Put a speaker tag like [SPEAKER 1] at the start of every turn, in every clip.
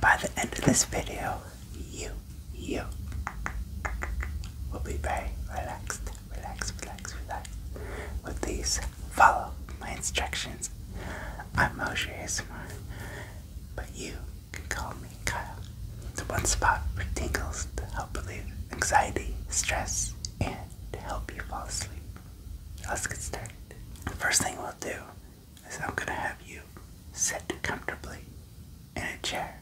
[SPEAKER 1] By the end of this video, you, you will be very relaxed, relaxed, relaxed, relaxed with these. Follow my instructions. I'm Moshe ASMR, but you can call me Kyle. The one spot for tingles to help relieve anxiety, stress, and to help you fall asleep. Let's get started. The first thing we'll do is I'm going to have you sit comfortably in a chair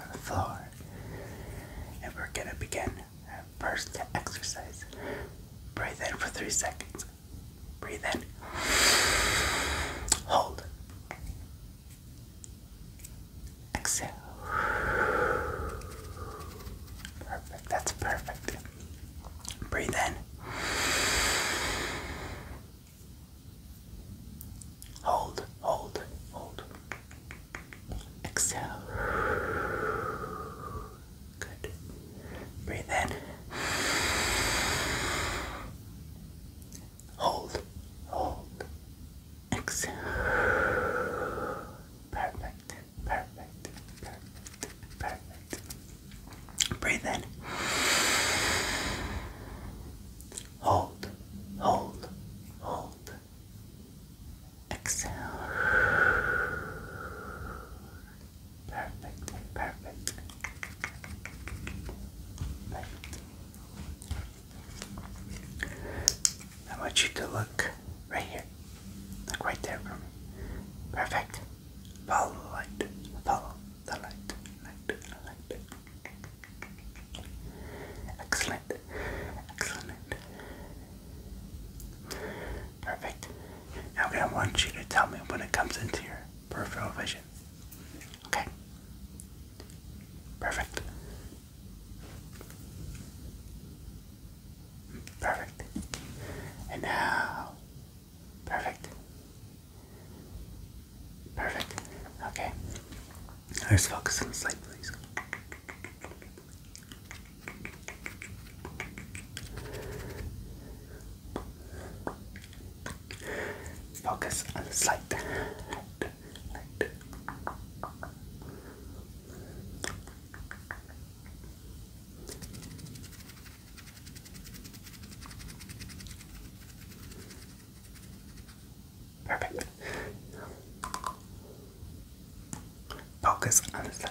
[SPEAKER 1] on the floor. And we're going to begin our first exercise. Breathe in for three seconds. Breathe in. Hold. Exhale. Perfect. That's perfect. Breathe in. Hold, hold, hold. Exhale. Good. Breathe in. Hold, hold. Exhale. Perfect, perfect, perfect, perfect. Breathe in. Hold, hold, hold. Exhale. Perfect, perfect. I want you to look right here. Look right there for me. Perfect. Follow the light. Follow the light, light, light. Excellent, excellent. Perfect. okay, I want you to tell me when it comes into your peripheral vision. Okay. Perfect. Perfect. And now Perfect. Perfect. Okay. let focus on the slate, please. Focus on the slate. Perfect. Focus on the side.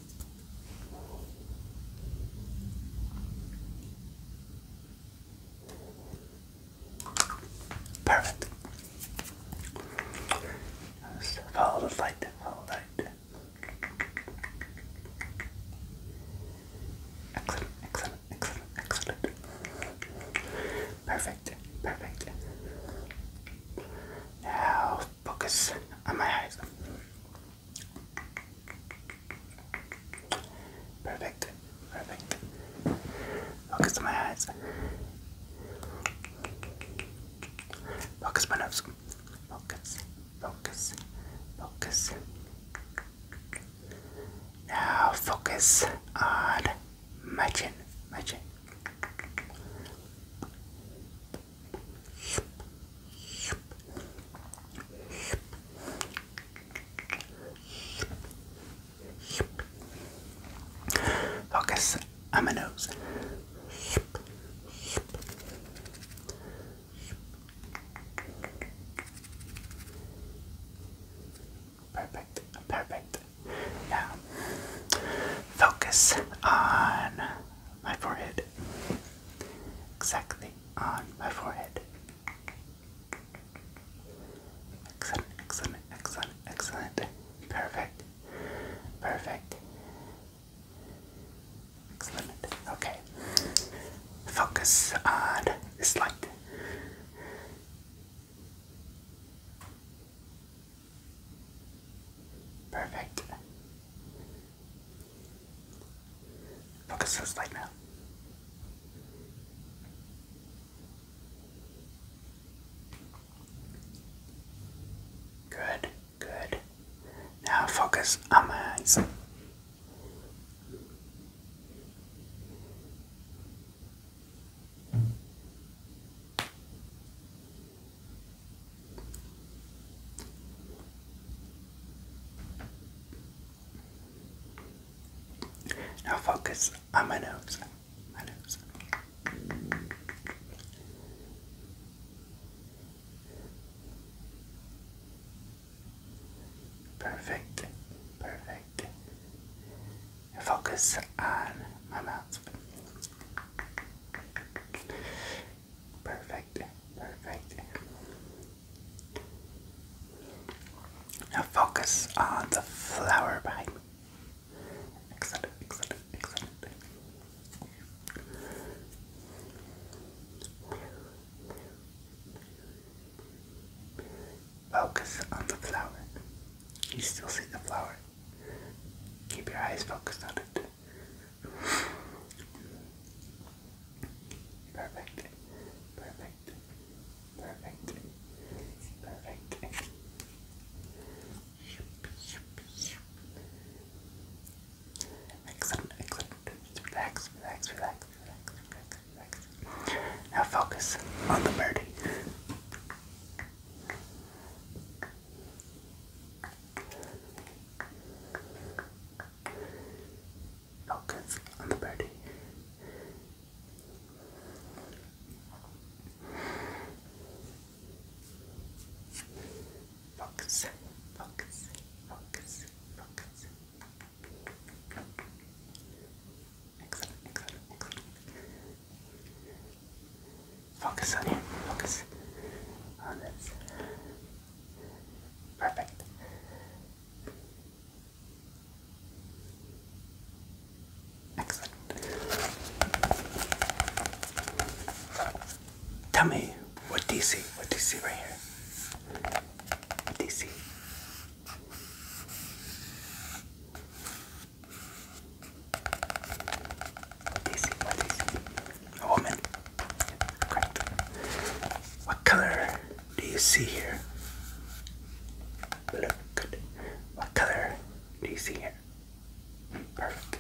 [SPEAKER 1] Perfect. Just follow the light, follow the light. Excellent, excellent, excellent, excellent. Perfect, perfect. Now focus on my eyes. Perfect, perfect. Focus on my eyes. Focus my nose. Focus, focus, focus. Now focus on my chin, my chin. Focus on my nose. Perfect, perfect. Now, focus on my forehead. Exactly, on my forehead. Excellent, excellent, excellent, excellent. Perfect, perfect. Excellent. Okay. Focus on this light. Perfect. Focus this light now. Good, good. Now focus on my eyes. Now focus on my nose. My nose. Perfect. Perfect. focus on my mouth. Perfect. Perfect. Now focus on the flower behind Excellent, excellent, excellent. Focus on the flower. You still see the flower. Keep your eyes focused on it. Perfect. Perfect. Perfect. Perfect. Excellent, excellent. relax, relax, relax, relax, relax. Now focus on the birdie. Focus on the body. Focus, focus, focus, focus. Excellent, excellent, excellent. Focus on him, focus on oh, this. Perfect. Excellent. Tell me, what do you see? What do you see right here? What do you see? What do you see? A woman. Correct. What color do you see here? Look good. What color do you see here? Perfect.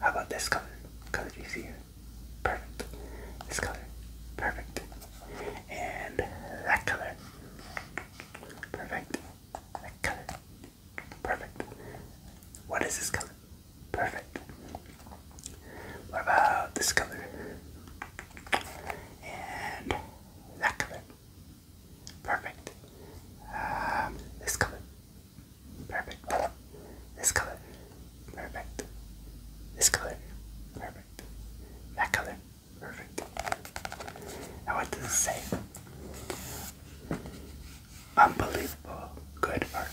[SPEAKER 1] How about this color? What color do you see here? Perfect. This color. Perfect. And that color. Perfect. That color. Perfect. What is this color? Perfect. What about this color? And that color. Perfect. Um, this color. Perfect. This color. Perfect. This color. Perfect. That color. Perfect. Now what does it say? Unbelievable good art.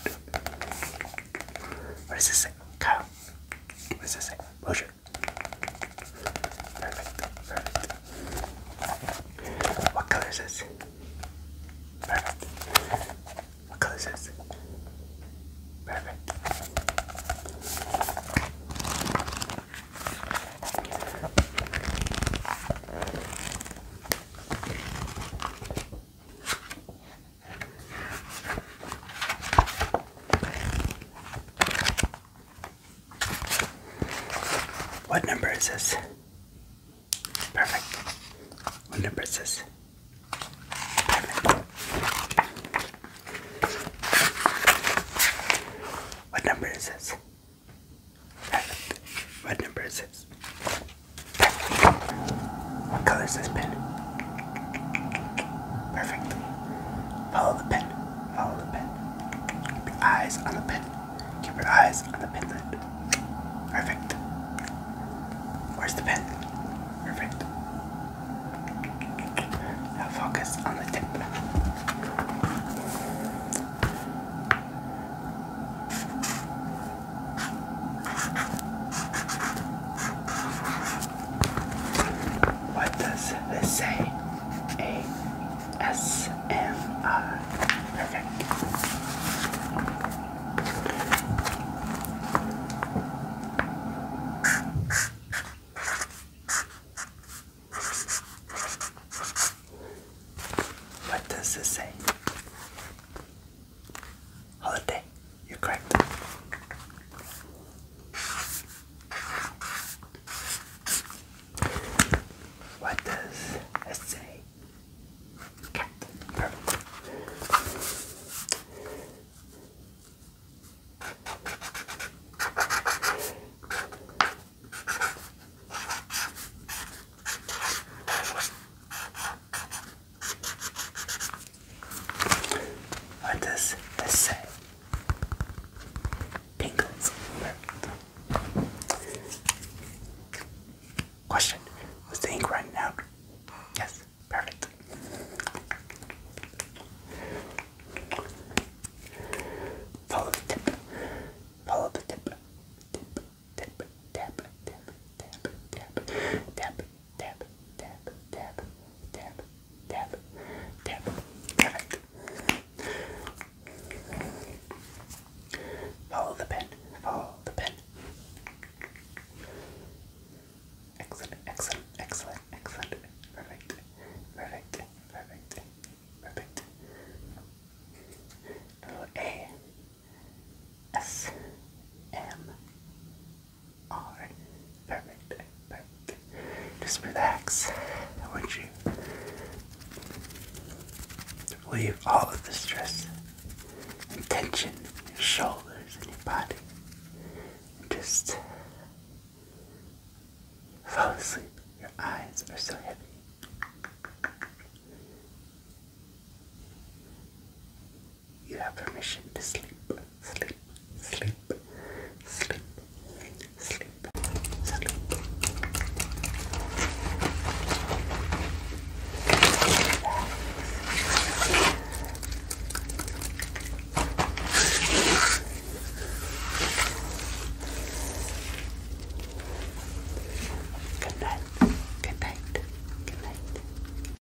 [SPEAKER 1] What does it say? Kyle, what does it say? Mosher. What color is this? Perfect. What color is this? Perfect. What number is this? Perfect. What number is this? Perfect. What number is this? Perfect. What number is this? What color this pen? Perfect. Follow the pen. Follow the pen. Keep your eyes on the pen. Keep your eyes on the pen Perfect. Where's the pen? Perfect. Now focus on the tip. What does this say? A S M R. Perfect. What does this say? Holiday. You're correct. What does it say? Cat. Perfect. What does this say? Pinkles. Question. Was the ink running out? Yes. Perfect. Follow the tip. Follow the tip. Tip, tip, tap, tap, tap, tap, tap, tap, tap, tap, tap, tap, tap. Perfect. Follow the pen. Follow the pen. Excellent, excellent, excellent, excellent. Perfect, perfect, perfect, perfect. Little A S M Alright, perfect, perfect. Just relax. I want you to leave all of the stress and tension in your shoulders and your body. just fall asleep. Your eyes are so heavy. You have permission to sleep, sleep, sleep, sleep, sleep, sleep. Good night. Good night. Good night.